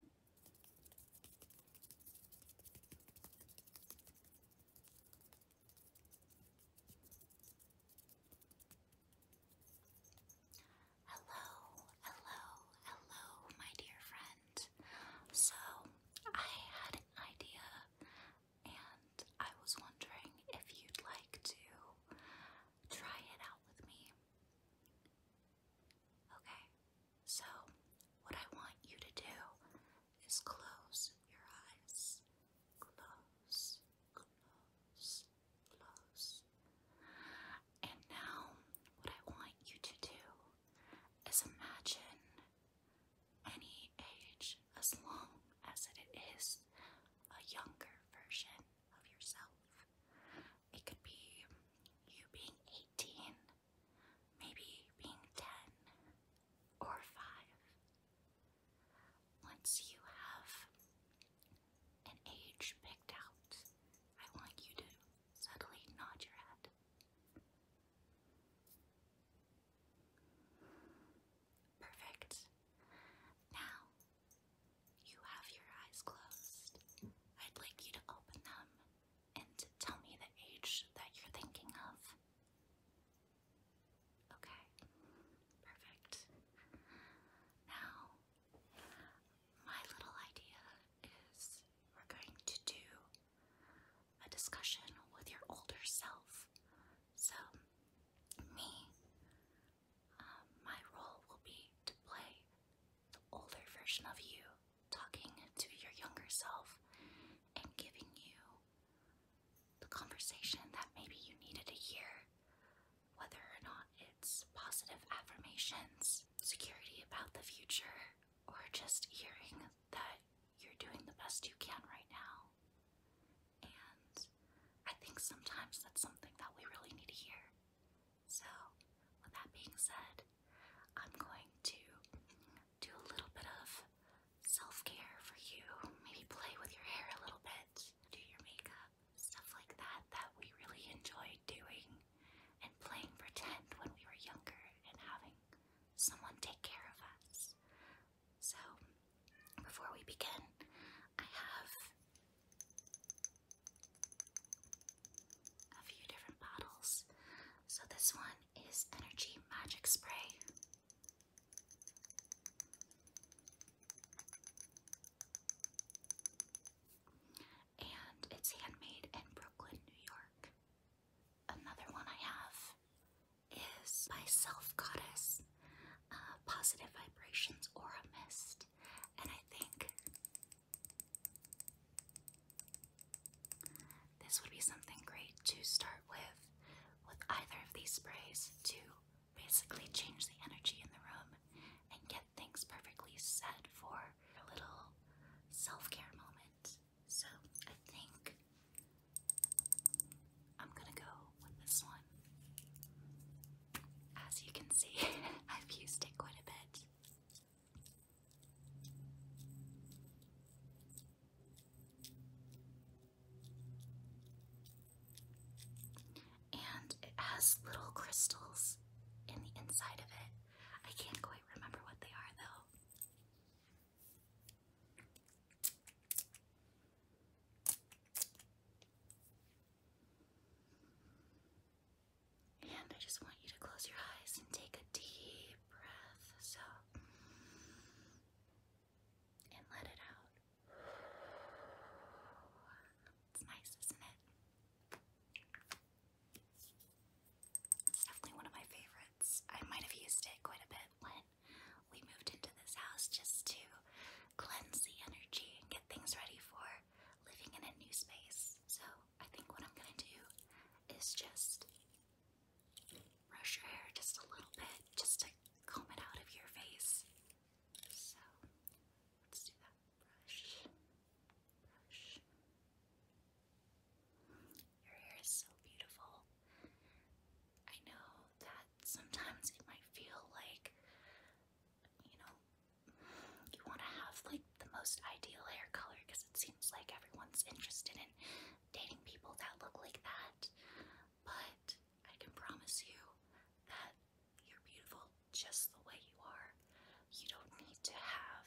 Hello, hello, hello, my dear friend. So, I had an idea and I was wondering if you'd like to try it out with me. Okay, so, what I want you to do is close your eyes. Close, close, close. And now, what I want you to do is imagine any age as long as it is a younger version of yourself. It could be you being 18 maybe being 10 or 5. Once you have an age picked out, I want you to subtly nod your head. Perfect. Now you have your eyes closed. I'd like you to open them and tell me the age that you're thinking of. Okay, perfect. Now, my little idea is we're going to do a discussion with your older self. So, me, uh, my role will be to play the older version of you talking to your younger self and giving you the conversation that maybe you needed to hear, whether or not it's positive affirmations, security about the future, or just hearing that you're doing the best you can right now. And I think sometimes that's something that we really need to hear. So, with that being said, I'm going to do a little bit of self care for you. Maybe play with your hair a little bit, do your makeup, stuff like that that we really enjoyed doing and playing pretend when we were younger and having someone take care of us. So, before we begin, I have a few different bottles. So this one is Energy Magic Spray. And it's handmade in Brooklyn, New York. Another one I have is by Self Goddess uh, Positive Vibrations Aura Mist. And I think this would be something great to start with, with either of these sprays to basically change the energy in the room and get things perfectly set for a little self care moment. So I think I'm gonna go with this one. As you can see, I've used it quite a bit. And it has little crystals in the inside of it. I can't quite remember what they are though. And I just want you to close your eyes and take a deep breath. So, and let it out. It's nice, isn't it? It's definitely one of my favorites. I might have used it quite a bit when we moved into this house just to cleanse the energy and get things ready for living in a new space. So I think what I'm gonna do is just brush your hair just a little bit, just to comb it out of your face. So let's do that. Brush, brush. Your hair is so beautiful. I know that sometimes it might feel like, you know, you want to have like the most ideal hair color because it seems like everyone's interested in dating people that look like that. But I can promise you that you're beautiful just the way you are. You don't need to have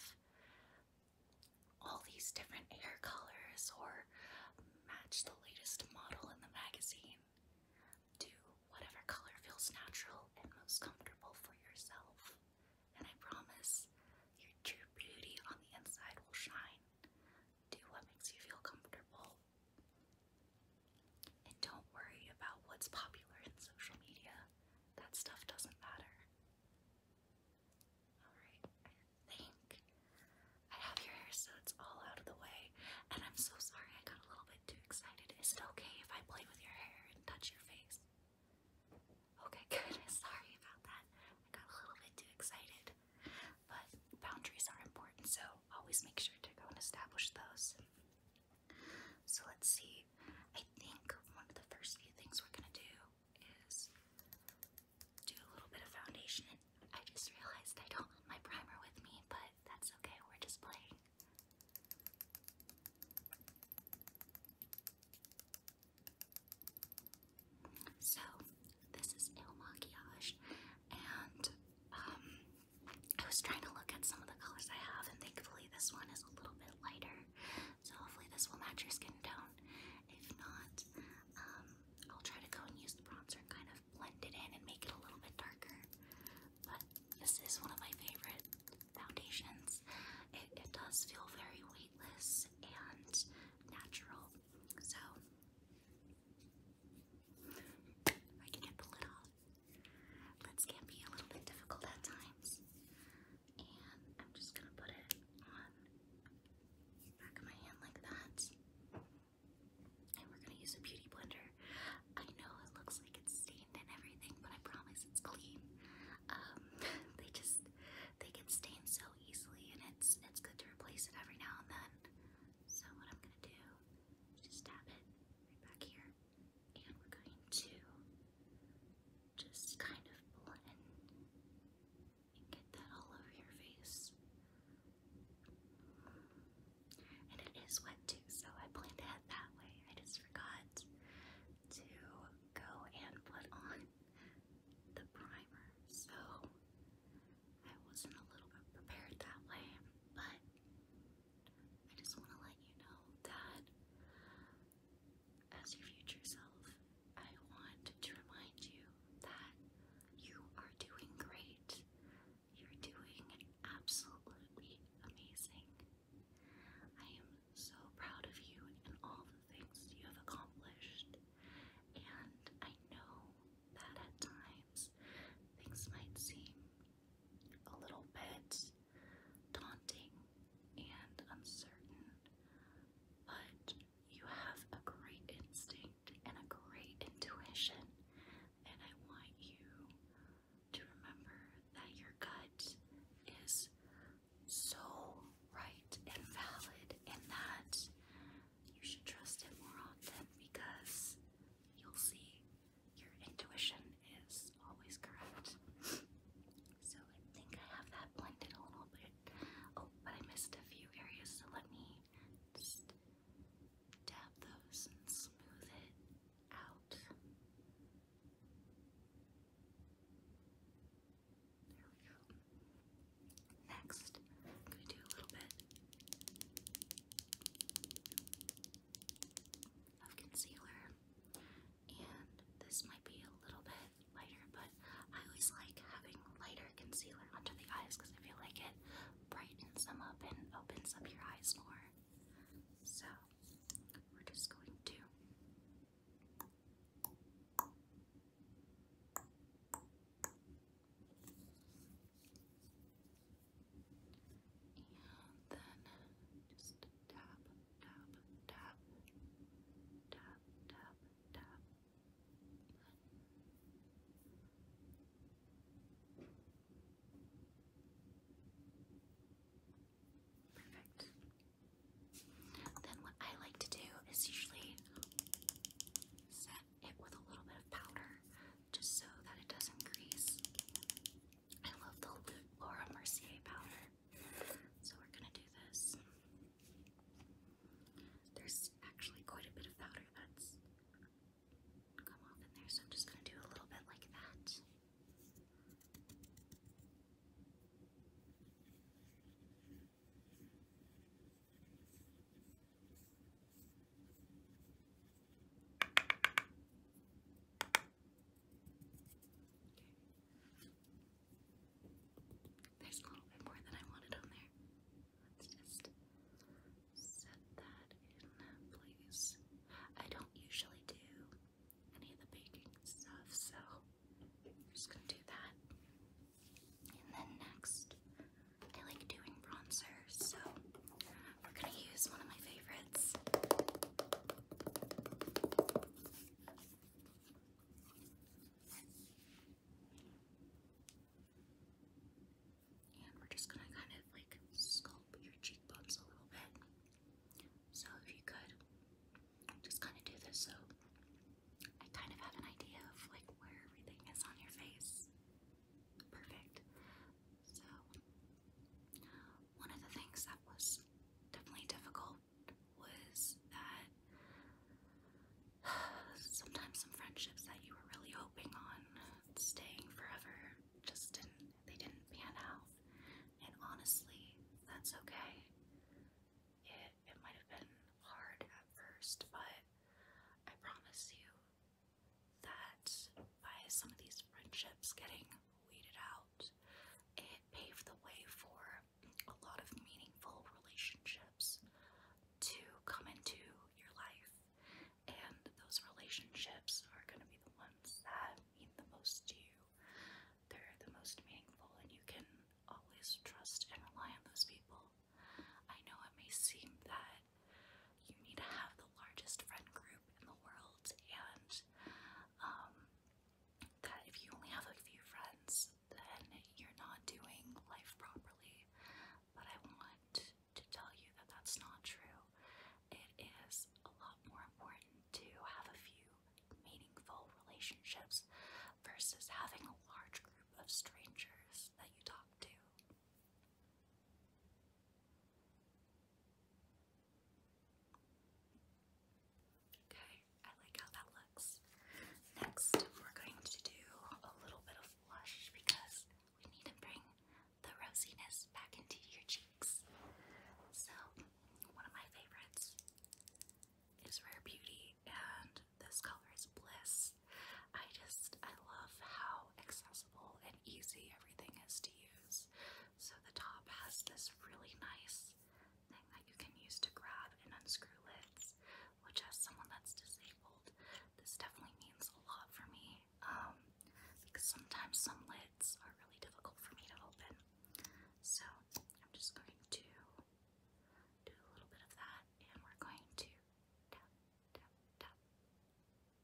all these different hair colors or match the latest model in the magazine. Do whatever color feels natural and most comfortable for yourself and I promise your true beauty on the inside will shine. Do what makes you feel comfortable. And don't worry about what's popular in social media. That stuff doesn't matter. Alright, I think I have your hair so it's all out of the way. And I'm so sorry I got a little bit too excited. Is it okay if I play with your hair and touch your face? Okay, good. Sorry about that. I got a little bit too excited. But boundaries are important, so always make sure to go and establish those. So let's see. I think one of the first few things we're gonna do is do a little bit of foundation. I just realized I don't have my primer with me, but that's okay. We're just playing. So this is Il Maquillage, and um, I was trying to look at some of the colors I have, and thankfully this one is a little bit lighter. So hopefully this will match your skin tone. If not, um, I'll try to go and use the bronzer and kind of blend it in and make it a little bit darker. But this is one of my favorite foundations, it, does feel very weightless and natural. So, I can get the lid off. Lids can be a little bit difficult at times. And I'm just gonna put it on back of my hand like that. And we're gonna use a beauty blender. I know it looks like it's and everything, but I promise it's clean. Um, they just they get stained so easily, and it's it's good to replace it every now and then. So what I'm gonna do is just it right back here, and we're going to just kind of blend and get that all over your face. And it is wet too, so I planned ahead that way. I just forgot to go and put on the primer, so I wasn't a little bit prepared that way, but I just want to let you know that as your future self, I want to remind you that you are doing great. You're doing absolutely amazing. I am so proud of you and all the things you have accomplished. And I know that at times things might seem a little bit daunting and uncertain, but you have a great instinct and a great intuition. And I want you to remember that your gut is so right and valid and that you should trust it more often because you'll see your intuition is always correct. so I think I have that blended a little bit. Oh, but I missed a few areas, so let me just dab those and smooth it out. There we i do a little bit of concealer, and this might be a little bit lighter, but I always like having lighter concealer under the eyes because I feel like it brightens them up and opens up your eyes more. So, we're just going to and then just tap, tap, tap, tap, tap, tap. And Perfect. Then what I like to do is usually set it with a little bit of powder just so that it doesn't crease. I love the Laura Mercier powder. So we're gonna do this. There's actually quite a bit of powder that's come off in there, so I'm just gonna do a little bit like that. There's a little bit more than I wanted on there. Let's just set that in place. I don't usually do any of the baking stuff, so I'm just gonna do that. And then next, I like doing bronzers, so we're gonna use one of my favorites. And we're just gonna kind of like sculpt your cheekbones a little bit. So if you could just kind of do this so I kind of have an idea of like where everything is on your face. Perfect. So one of the things that was definitely difficult was that sometimes some friendships that you were really hoping on staying forever just didn't they didn't pan out and honestly, that's okay. It it might have been hard at first, but I promise you that by some of these friendships getting weeded out, it paved the way for a lot of meaningful relationships to come into your life. And those relationships are going to be the ones that mean the most to you. They're the most meaningful, and you can always trust and rely on those people. I know it may seem that you need to have the largest friend group in the world, and um, that if you only have a few friends, then you're not doing life properly. But I want to tell you that that's not true. It is a lot more important to have a few meaningful relationships versus having a large group of strangers that you talk to. Okay, I like how that looks. Next, we're going to do a little bit of blush because we need to bring the rosiness back into your cheek. So, one of my favorites is Rare Beauty, and this color is Bliss. I just, I love how accessible and easy everything is to use. So, the top has this really nice thing that you can use to grab and unscrew lids, which, as someone that's disabled, this definitely means a lot for me. Um, because sometimes some lids are really difficult for me to open. So I'm just going to do a little bit of that and we're going to tap, tap, tap,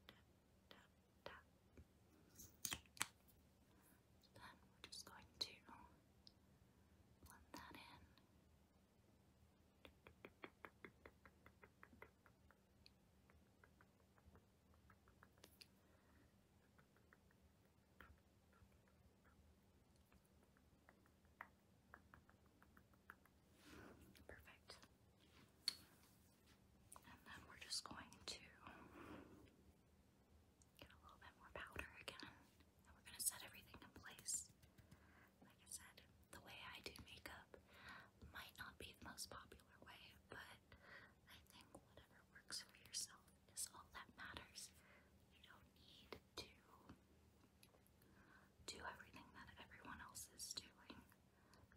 tap, tap, Then we're just going to blend that in. Perfect. And then we're just going to get a little bit more powder again. we're going to set everything in place. Like I said, the way I do makeup might not be the most popular way, but I think whatever your works for yourself is all that matters. You don't need to do everything that everyone else is doing.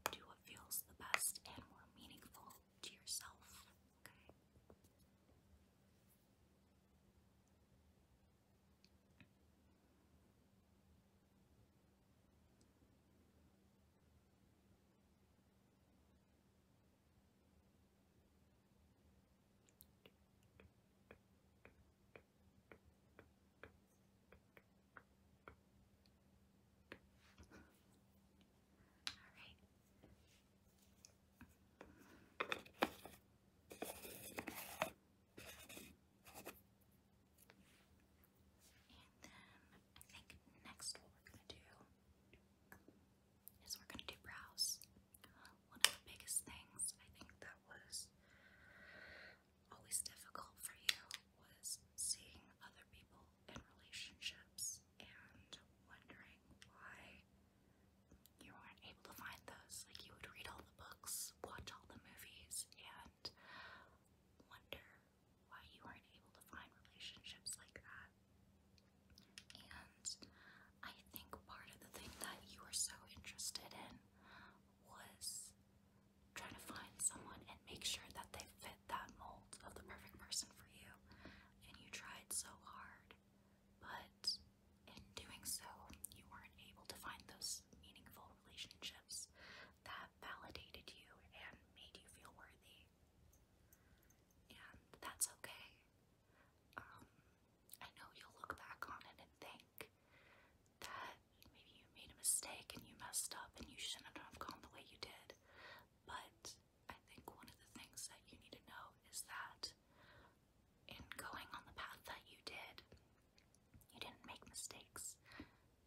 Do what feels the best and more meaningful to yourself, Okay, and then I think next we're going to do is we're gonna do brows. One of the biggest things I think that was always difficult for you was seeing other people in relationships and wondering why you weren't able to find those. Like you would read all the books, watch all the movies, and wonder why you weren't able to find relationships like that. And I think part of the thing that you were so interested in was trying to find someone and make sure that they fit that mold of the perfect person for you. And you tried so hard, but in doing so, you weren't able to find those meaningful relationships that validated you and made you feel worthy. And that's okay. Um, I know you'll look back on it and think that maybe you made a mistake and you messed up and you shouldn't have gone the way you did. But I think one of the things that you need to know is that in going on the path that you did, you didn't make mistakes.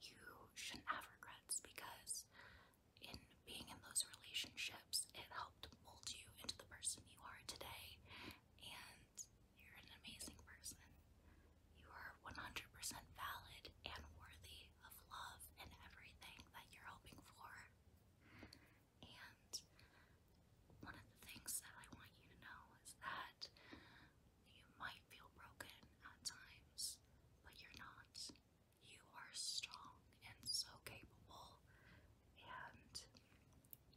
You shouldn't have regrets because in being in those relationships, it helped mold you into the person you are today. And you're an amazing person. You are 100% valid and worthy of love and everything that you're hoping for. And one of the things that I want you to know is that you might feel broken at times, but you're not. You are strong and so capable, and you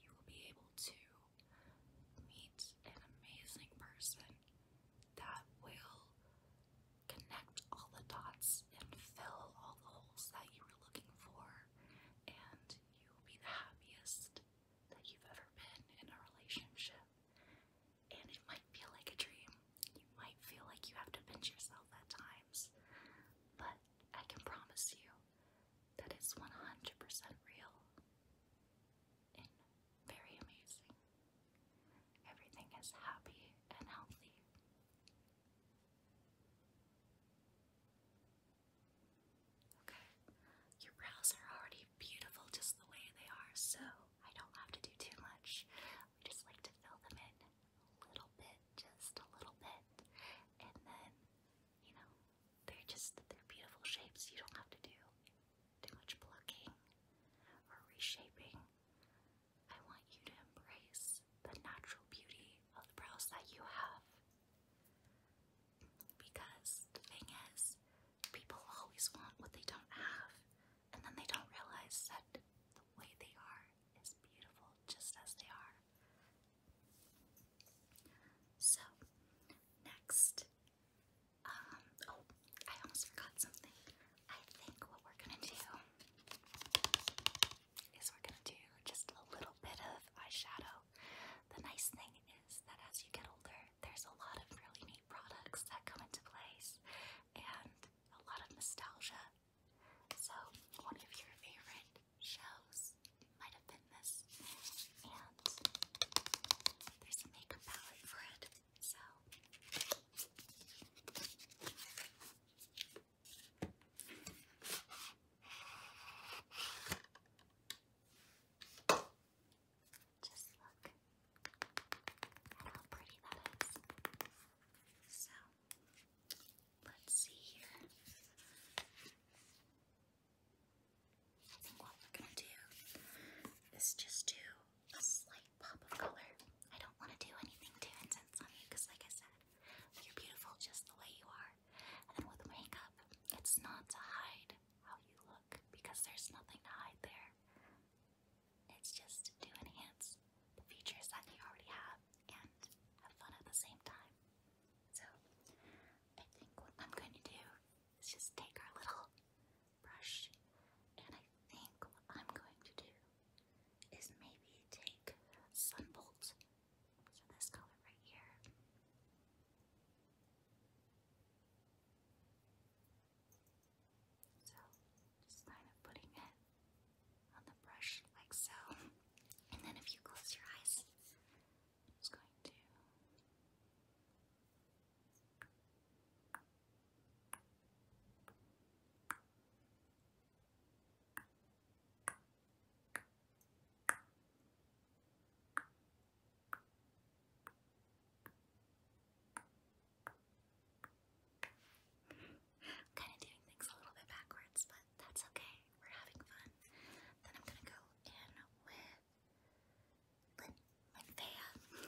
will be able to meet an amazing person that will connect all the dots and fill all the holes that you were looking for, and you will be the happiest that you've ever been in a relationship. And it might feel like a dream. You might feel like you have to pinch yourself at times, but I can promise you that it's 100% real and very amazing. Everything is happy and healthy. Okay, your brows are already beautiful just the way they are, so I don't have to do too much. We just like to fill them in a little bit, just a little bit, and then, you know, they're just, they're beautiful shapes. You don't have to do too much plucking or reshaping. I want you to embrace the natural beauty of the brows that you have. Because the thing is, people always want what they don't have, and then they don't realize that the way they are is beautiful just as they are. So, next, um, oh, I almost forgot something. I think what we're gonna do is we're gonna do just a little bit of eyeshadow. The nice thing is that as you get older, there's a lot of really neat products that come into place and a lot of nostalgia so, one of your favorite shows might have been this, and there's a makeup palette for it. So, just look at how pretty that is. So, let's see here. I think what we're gonna do is just do a slight pop of color. I don't want to do anything too intense on you because, like I said, you're beautiful just the way you are. And with makeup, it's not to hide how you look because there's nothing to hide there. It's just to enhance the features that you already have and have fun at the same time. So I think what I'm going to do is just take our little brush and I think what I'm going to do is maybe take Sunbolt, so this color right here. So just kind of putting it on the brush like so. And then if you close your eyes, I'm just going to kind of doing things a little bit backwards, but that's okay. We're having fun. Then I'm gonna go in with Lin Linfea.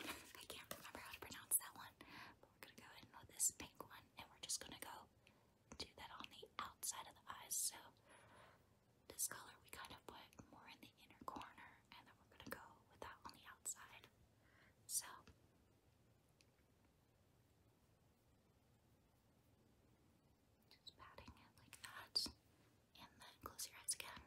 I can't remember how to pronounce that one, we're gonna go in with this pink one, and we're just gonna go do that on the outside of the eyes. So this color we kind of put more in the inner corner, and then we're gonna go with that on the outside. So. Just patting it like that, and then close your eyes again.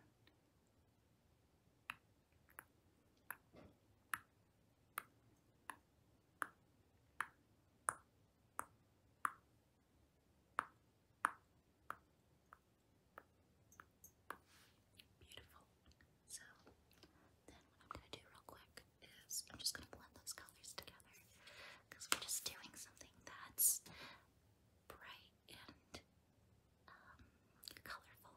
Beautiful. So then what I'm gonna do real quick is I'm just gonna blend those colors together because we're just doing something that's bright and um, colorful.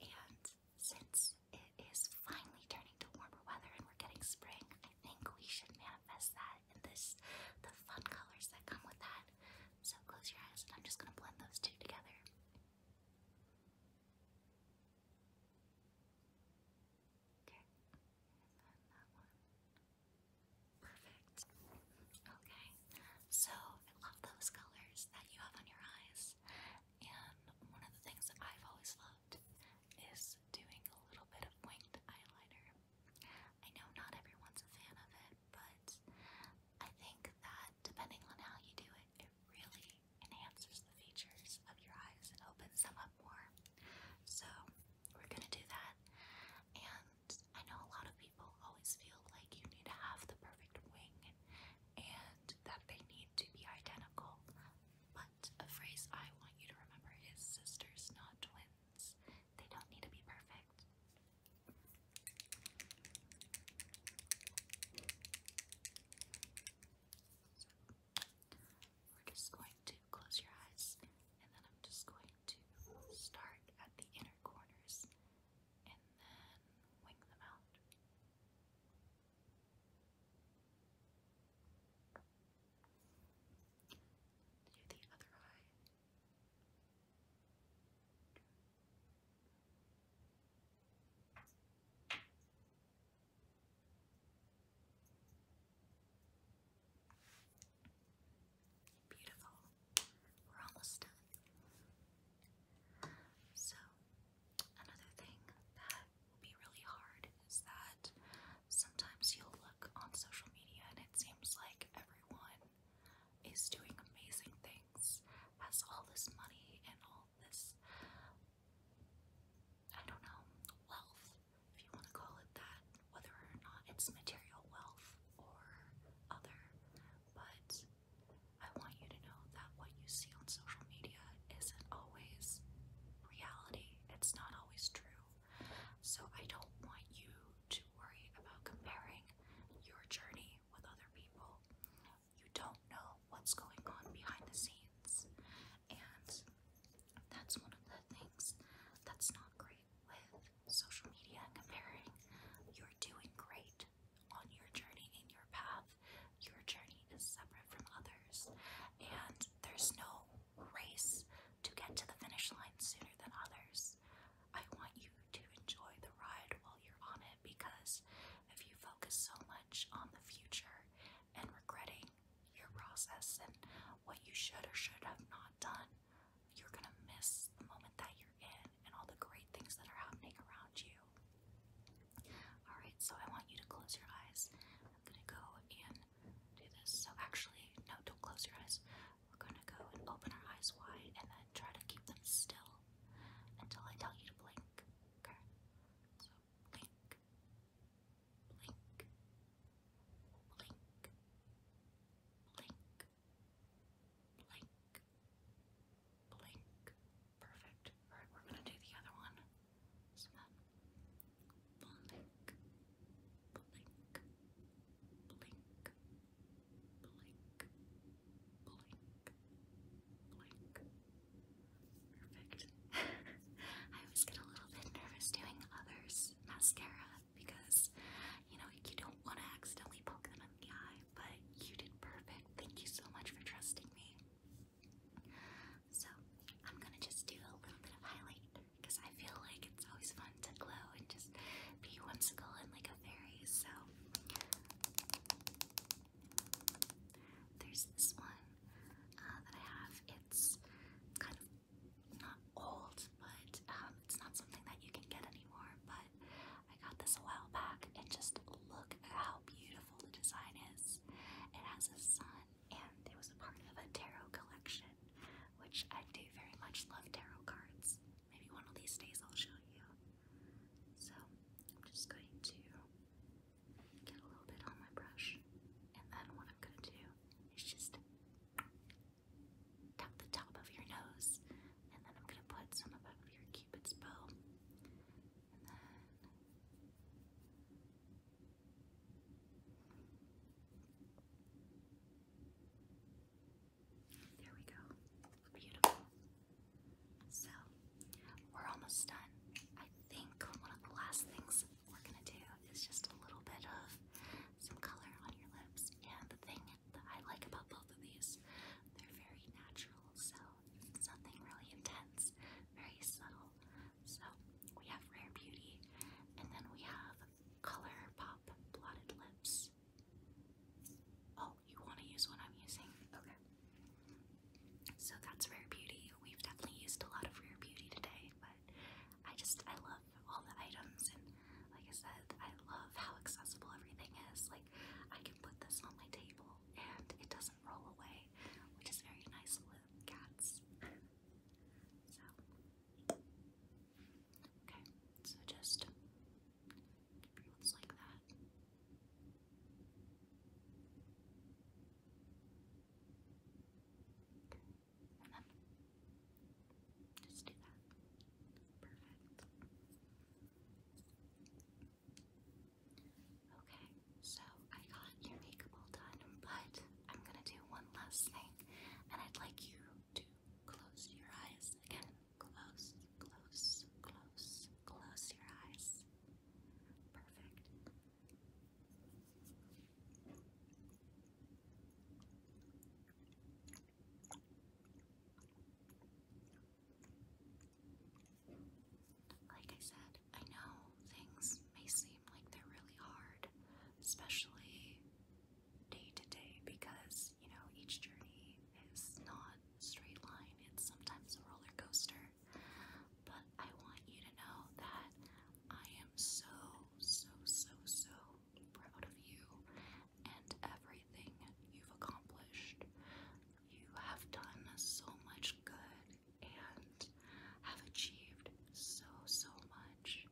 And since it is finally turning to warmer weather and we're getting spring, I think we should manifest that in this the fun colors that come with that. So close your eyes, and I'm just gonna blend those two together. Okay. Perfect. Okay. So I love those colors that you have on your eyes. And one of the things that I've always loved is doing a little bit of winged eyeliner. I know not everyone's a fan of it, but I think that depending on how you do it really enhances the features of your eyes and opens them up more. So, we're gonna do that. And I know a lot of people always feel like you need to have the perfect wing and that they need to be identical. But a phrase I want you to remember is sisters, not twins. They don't need to be perfect we're just going to close your eyes and then I'm just going to start at the inner corners and then wing them out. the other eye. Beautiful. We're almost done. So, another thing that will be really hard is that sometimes you'll look on social media and it seems like everyone is doing amazing things, has all this money and all this I don't know, wealth, if you want to call it that, whether or not it's material wealth or other, but I want you to know that what you see on social media isn't always reality, it's not always true. So I don't want you to worry about comparing your journey with other people. You don't know what's going on behind the scenes, and that's one of the things that's not great with social media comparing. You're doing great on your journey in your path. Your journey is separate from others, and there's no race to get to the finish line sooner than others. I want you to enjoy the ride while you're on it because if you focus so much on the future and regretting your process and what you should or should have not done, you're going to miss the moment that you're in and all the great things that are happening around you. Alright, so I want you to close your eyes. I'm going to go and do this. So, actually, no, don't close your eyes. We're going to go and open our eyes wide and then try to keep them still until I tell you to blink. Okay? So, blink, blink, blink, blink, blink, blink. Perfect. All right, we're gonna do the other one. So that blink, blink, blink, blink, blink, blink. Perfect. I always get a little bit nervous doing others' mascara because, you know, you don't want to accidentally poke them in the eye, but you did perfect. Thank you so much for trusting me. So, I'm gonna just do a little bit of highlight because I feel like it's always fun to glow and just be whimsical and like a fairy, so there's this one uh, that I have. It's kind of not old, but um, it's not something that you can get anymore. But I got this a while back, and just look at how beautiful the design is. It has a sun, and it was a part of a tarot collection, which I do very much love tarot cards. Maybe one of these days I'll show you. So I'm just going to get a little bit on my brush, and then what I'm gonna do is just tap the top of your nose, and then I'm gonna put some of your cupid's bow, and then there we go. Beautiful. So we're almost done. I think one of the last things we're gonna do is just a little bit of some color on your lips. And the thing that I like about both of these, they're very natural, so it's nothing really intense, very subtle. So we have Rare Beauty, and then we have Color Pop Blotted Lips. Oh, you want to use what I'm using? Okay. So that's Rare Beauty. We've definitely used a lot of Rare Beauty today, but I just, I love all the items and like I said, I love how accessible everything is. Like, I can put this on my table and it doesn't roll away, which is very nice with cats. so, okay, so just keep like that. And just do that. Perfect. Okay, so I got your makeup all done, but I'm gonna do one last thing, and I'd like you to close your eyes again. Close, close, close, close your eyes. Perfect. Like I said, I know things may seem like they're really hard, especially day to day, because, you know, each journey is not straight line. It's sometimes a roller coaster. But I want you to know that I am so, so, so, so proud of you and everything you've accomplished. You have done so much good and have achieved so, so much.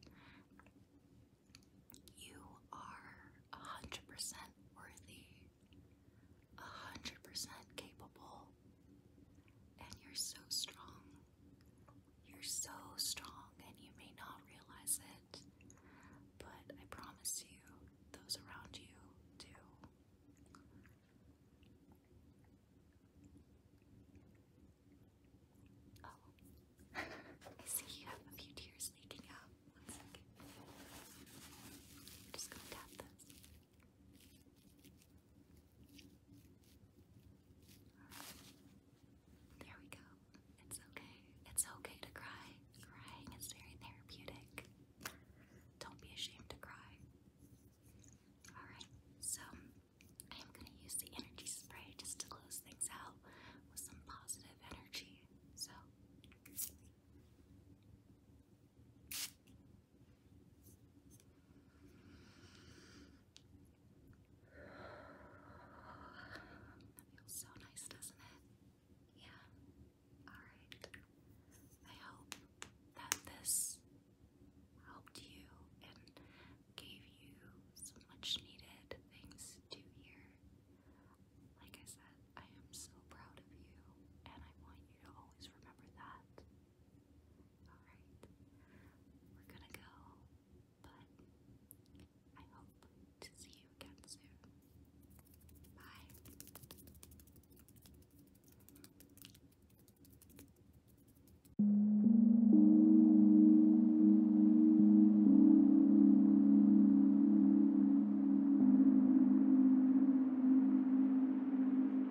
You are a hundred percent worthy, a hundred percent capable, and you're so strong. You're so strong, and you may not realize it, but I promise you, those around you do. Oh, I see you have a few tears leaking out. just gonna tap this. There we go. It's okay. It's okay to cry. Crying is very therapeutic. Don't be ashamed to cry. Alright, so I am going to use the energy spray just to close things out with some positive energy. So. That feels so nice, doesn't it? Yeah. Alright. I hope that this helped you and gave you some much needed things to hear. Like I said, I am so proud of you, and I want you to always remember that. Alright, we're gonna go, but I hope to see you again soon. Bye.